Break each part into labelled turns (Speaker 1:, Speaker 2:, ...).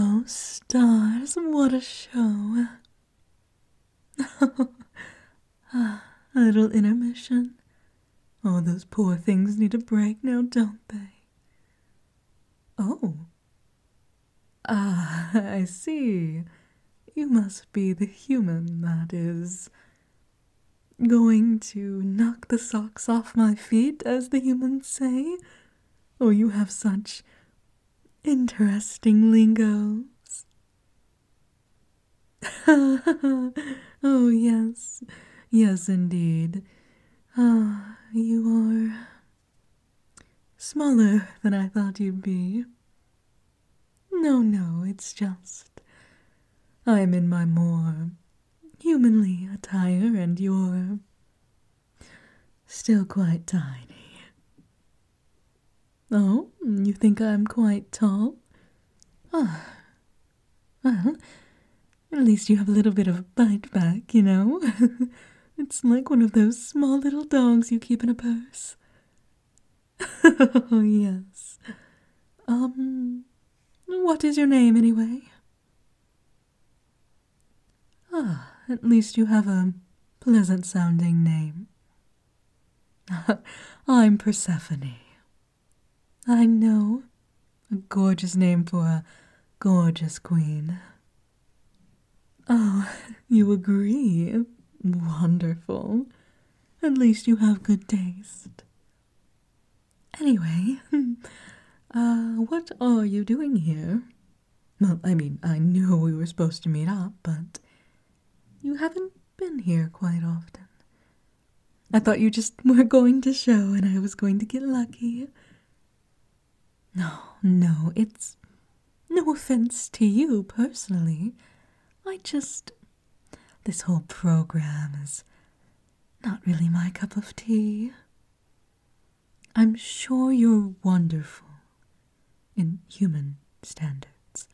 Speaker 1: Oh, stars, what a show! ah, a little intermission. Oh, those poor things need a break now, don't they? Oh. Ah, I see. You must be the human that is Going to knock the socks off my feet, as the humans say? Oh, you have such interesting lingos. oh, yes, yes, indeed. Ah, you are smaller than I thought you'd be. No, no, it's just I'm in my more humanly attire and you're still quite tiny. Oh, you think I'm quite tall? Ah, well, at least you have a little bit of bite back, you know? it's like one of those small little dogs you keep in a purse. yes. Um, what is your name, anyway? Ah, at least you have a pleasant sounding name. I'm Persephone. I know. A gorgeous name for a gorgeous queen. Oh, you agree? Wonderful. At least you have good taste. Anyway, uh, what are you doing here? I mean, I knew we were supposed to meet up, but you haven't been here quite often. I thought you just were going to show and I was going to get lucky. No, no, it's no offense to you personally. I just this whole program is not really my cup of tea. I'm sure you're wonderful in human standards,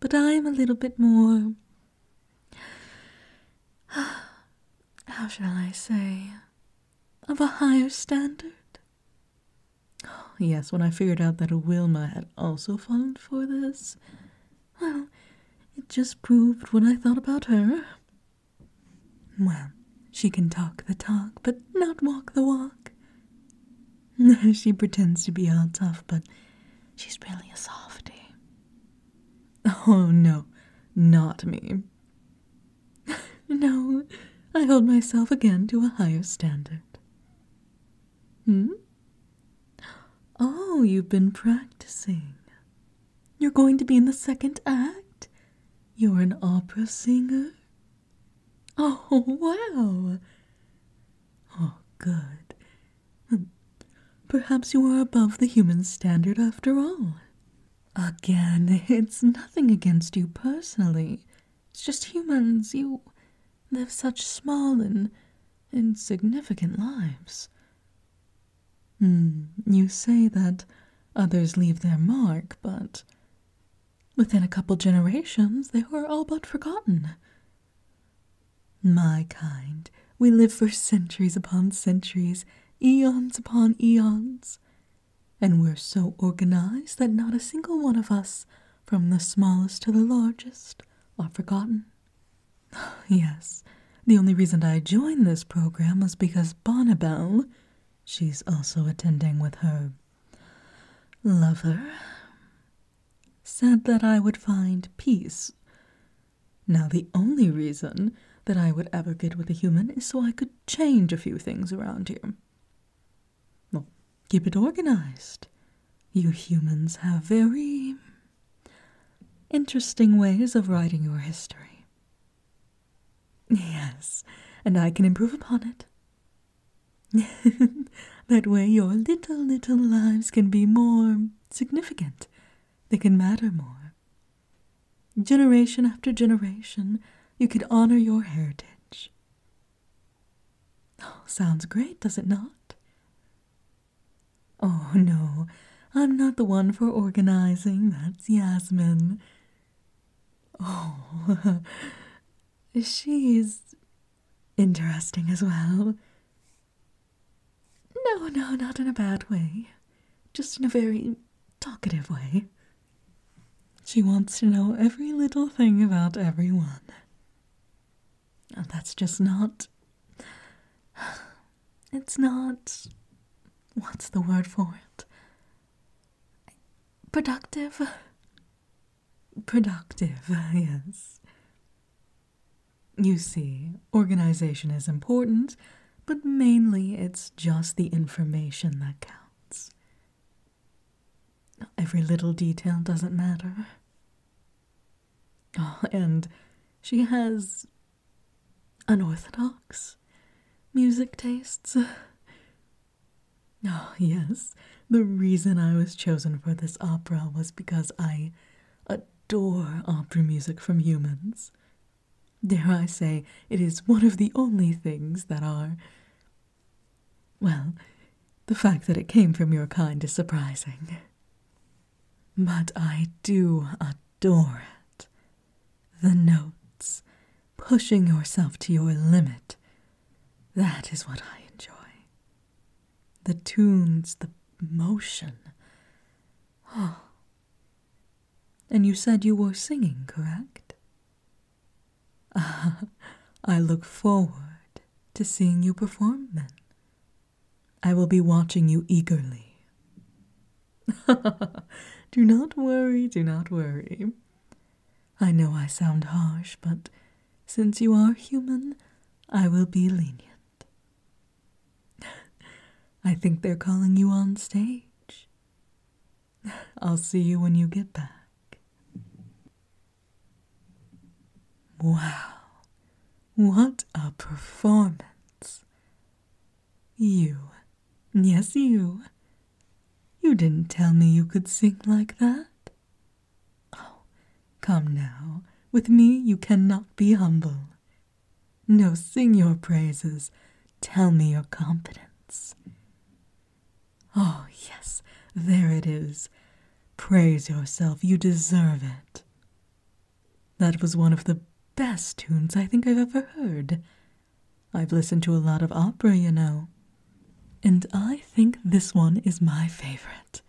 Speaker 1: but I'm a little bit more. How shall I say? Of a higher standard? Yes, when I figured out that Wilma had also fallen for this, well, it just proved what I thought about her. Well, she can talk the talk, but not walk the walk. she pretends to be all tough, but she's really a softie. Oh, no, not me. no, I hold myself again to a higher standard. Hmm? Oh, you've been practicing. You're going to be in the second act? You're an opera singer? Oh, wow! Oh, good. Hmm. Perhaps you are above the human standard after all. Again, it's nothing against you personally. It's just humans. You live such small and insignificant lives? Hmm, you say that others leave their mark, but within a couple generations they were all but forgotten. My kind, we live for centuries upon centuries, eons upon eons, and we're so organized that not a single one of us from the smallest to the largest, are forgotten. yes, the only reason I joined this program was because Bonnabelle, she's also attending with her lover, said that I would find peace. Now, the only reason that I would ever get with a human is so I could change a few things around here well, keep it organized. You humans have very interesting ways of writing your history. Yes, and I can improve upon it. that way, your little, little lives can be more significant, they can matter more. Generation after generation, you can honor your heritage. Oh, sounds great, does it not? Oh, no, I'm not the one for organizing. That's Yasmin. Oh, she's interesting as well. No, no, not in a bad way. Just in a very talkative way. She wants to know every little thing about everyone. Oh, that's just not. It's not. What's the word for it? Productive? Productive, yes. You see, organization is important, but mainly it's just the information that counts. Every little detail doesn't matter. Ah, and she has unorthodox music tastes. Oh, yes, the reason I was chosen for this opera was because I adore opera music from humans. Dare I say, it is one of the only things that are well, the fact that it came from your kind is surprising. But I do adore it. The notes, pushing yourself to your limit. That is what I enjoy. The tunes, the motion. Oh. And you said you were singing, correct? Ah, I look forward to seeing you perform then. I will be watching you eagerly. do not worry, do not worry. I know I sound harsh, but since you are human, I will be lenient. I think they're calling you on stage. I'll see you when you get back. Wow, what a performance! You, yes, you. You didn't tell me you could sing like that. Oh, come now, with me you cannot be humble. No, sing your praises, tell me your confidence. Oh, yes, there it is. Praise yourself, you deserve it. That was one of the best tunes I think I've ever heard. I've listened to a lot of opera, you know, and I think this one is my favorite.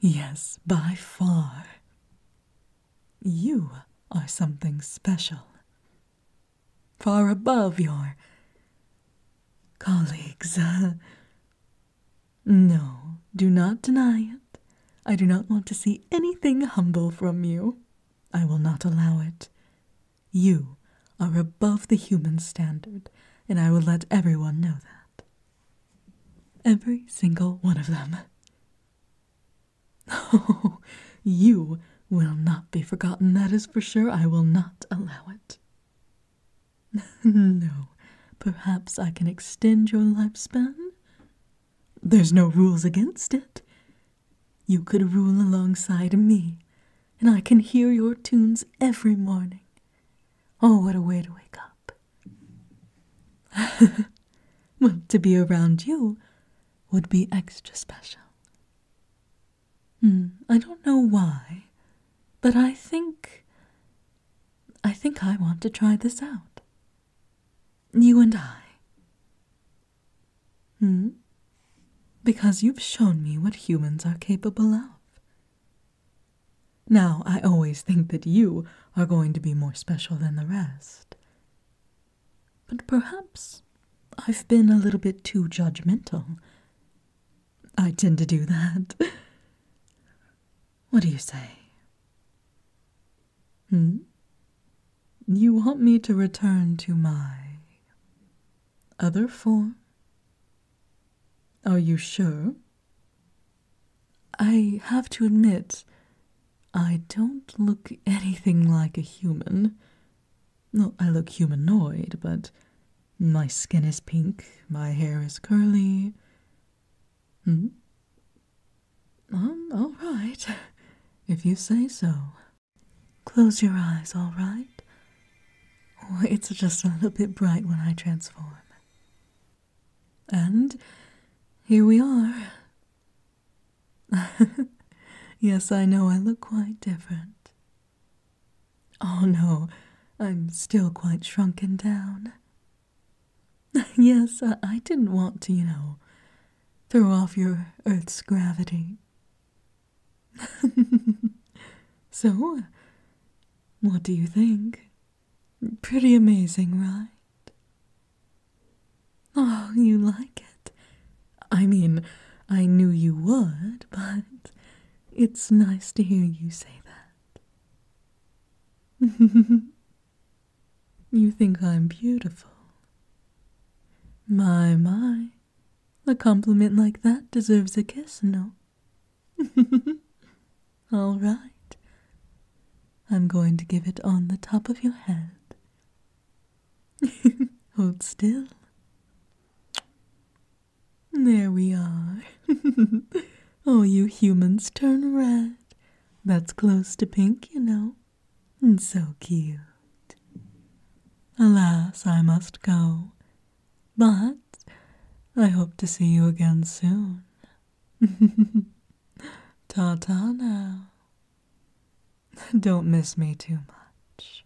Speaker 1: Yes, by far. You are something special. Far above your colleagues. Uh, no, do not deny it. I do not want to see anything humble from you. I will not allow it. You are above the human standard, and I will let every one know that. Every single one of them. Oh, you will not be forgotten, that is for sure. I will not allow it. no, perhaps I can extend your lifespan? There's no rules against it. You could rule alongside me, and I can hear your tunes every morning. Oh, what a way to wake up! well, to be around you would be extra special. Hmm, I don't know why, but I think. I think I want to try this out. You and I. Hmm? Because you've shown me what humans are capable of. Now, I always think that you are going to be more special than the rest. But perhaps I've been a little bit too judgmental. I tend to do that. What do you say? Hmm? You want me to return to my other form? Are you sure? I have to admit, I don't look anything like a human. I look humanoid, but my skin is pink, my hair is curly. Hmm? Um, all right. If you say so. Close your eyes, all right? Oh, it's just a little bit bright when I transform. And here we are. yes, I know I look quite different. Oh no, I'm still quite shrunken down. yes, I, didn't want to, you know, throw off your Earth's gravity. so, uh, what do you think? Pretty amazing, right? Oh, you like it? I mean, I knew you would, but it's nice to hear you say that. you think I'm beautiful. My, my. A compliment like that deserves a kiss, no? All right. I'm going to give it on the top of your head. Hold still. There we are. Oh, you humans turn red. That's close to pink, you know. And so cute. Alas, I must go. But I hope to see you again soon. Ta now. Don't miss me too much.